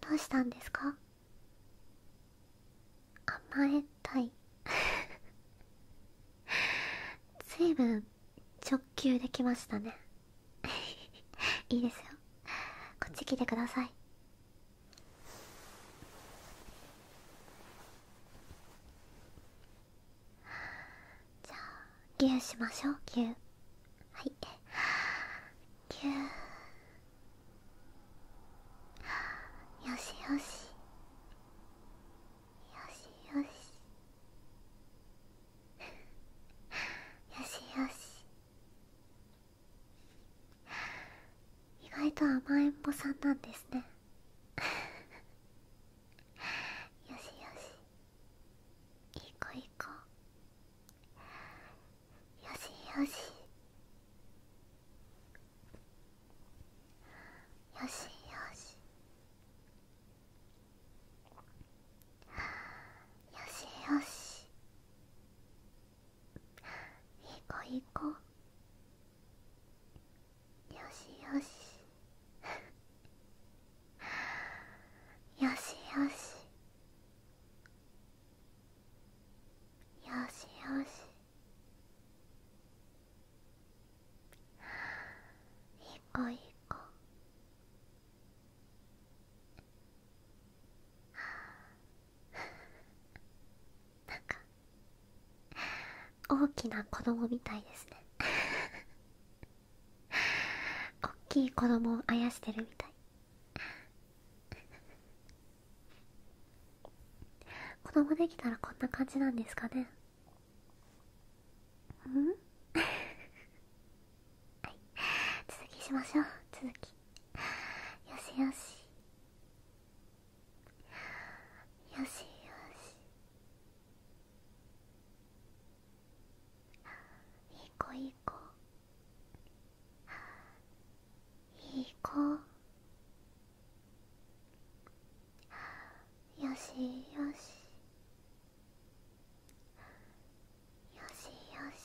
どうしたんですか甘えたいずいぶん直球できましたね いいですよこっち来てくださいじゃあぎゅーしましょうぎゅーはいぎゅーよしよしよしよしよしよし意外と甘えん坊さんなんですねよしよしいい子いい子よしよしよしよしよしよしいい子いい子よしよし よしよしよしよしいい子いい子なんか大きな子供みたいですねおっきい子供をあやしてるみたい子供できたらこんな感じなんですかねうん はい続きしましょう続きよしよしよしよしいい子いい子いい子よしよしよしよし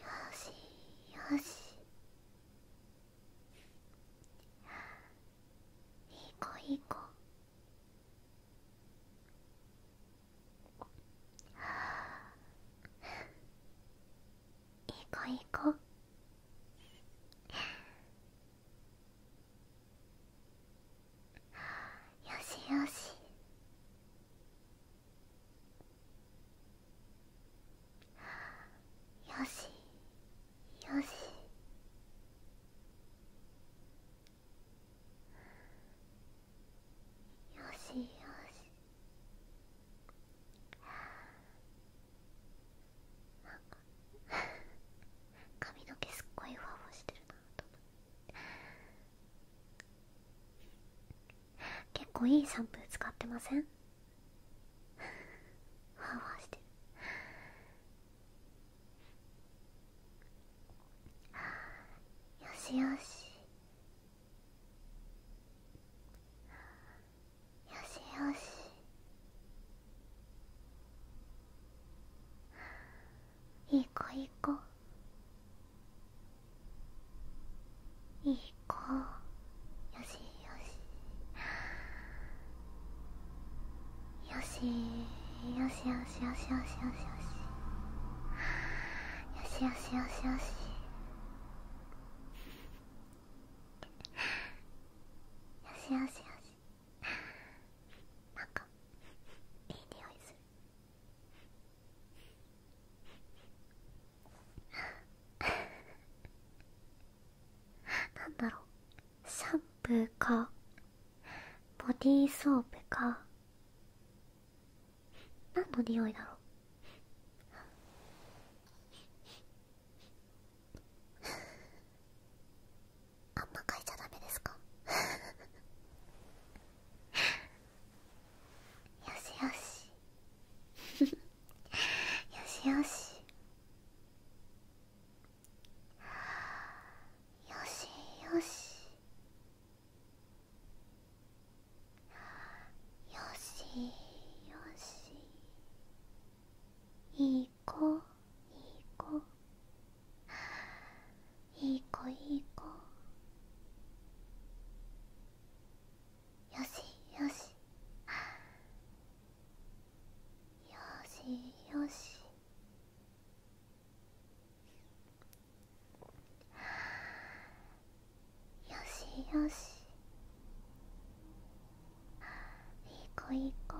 よしよしいい子いい子いい子いい子よしよしよしよしよしよしなか髪の毛すっごいふわふわしてるなと思って結構いいシャンプー使ってませんハワしてるよしよしよしよしいい子いい子いいいこうよしよしよしよしよしよしよしよしよしよしよしよしよしよしよしなんかいい匂いするなんだろうシャンプーかボディーソープか何の匂いだろうあんまかいちゃダメですかよしよしよしよしよしよしよしよしいい子いい子いい子いい子よしよしよしよしよしよしいい子いい子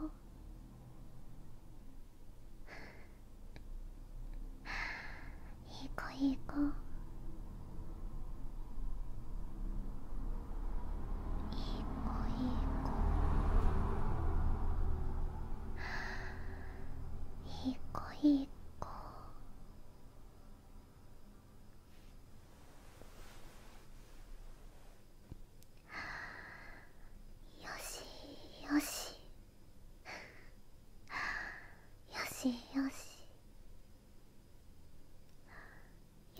いい子いい子いい子いい子いい子いい子よしよしよしよし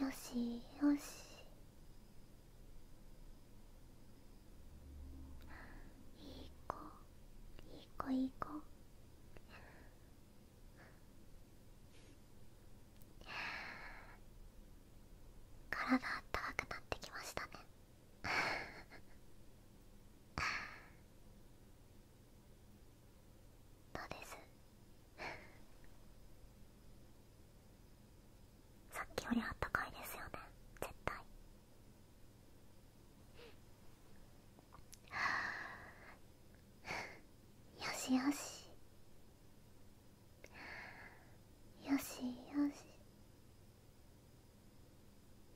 よしよしいい子いい子いい子体あったかくなってきましたねうですさっきよりあったかいですよね絶対よしよしよしよし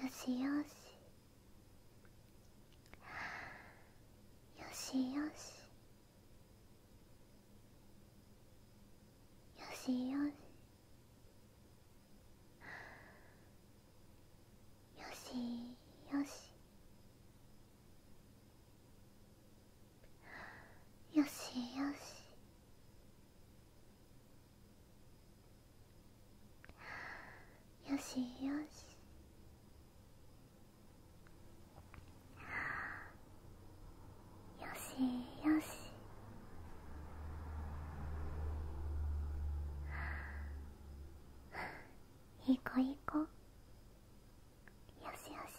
よしよしよしよしよしよしよしよしよしよしよしよしよしよしいい子いい子よしよし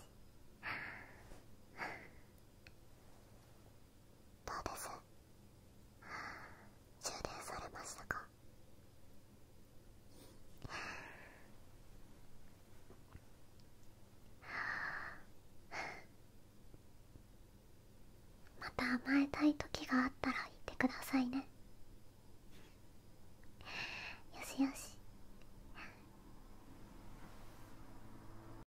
どうです充電されましたか また甘えたい時があったら言ってくださいねよしよし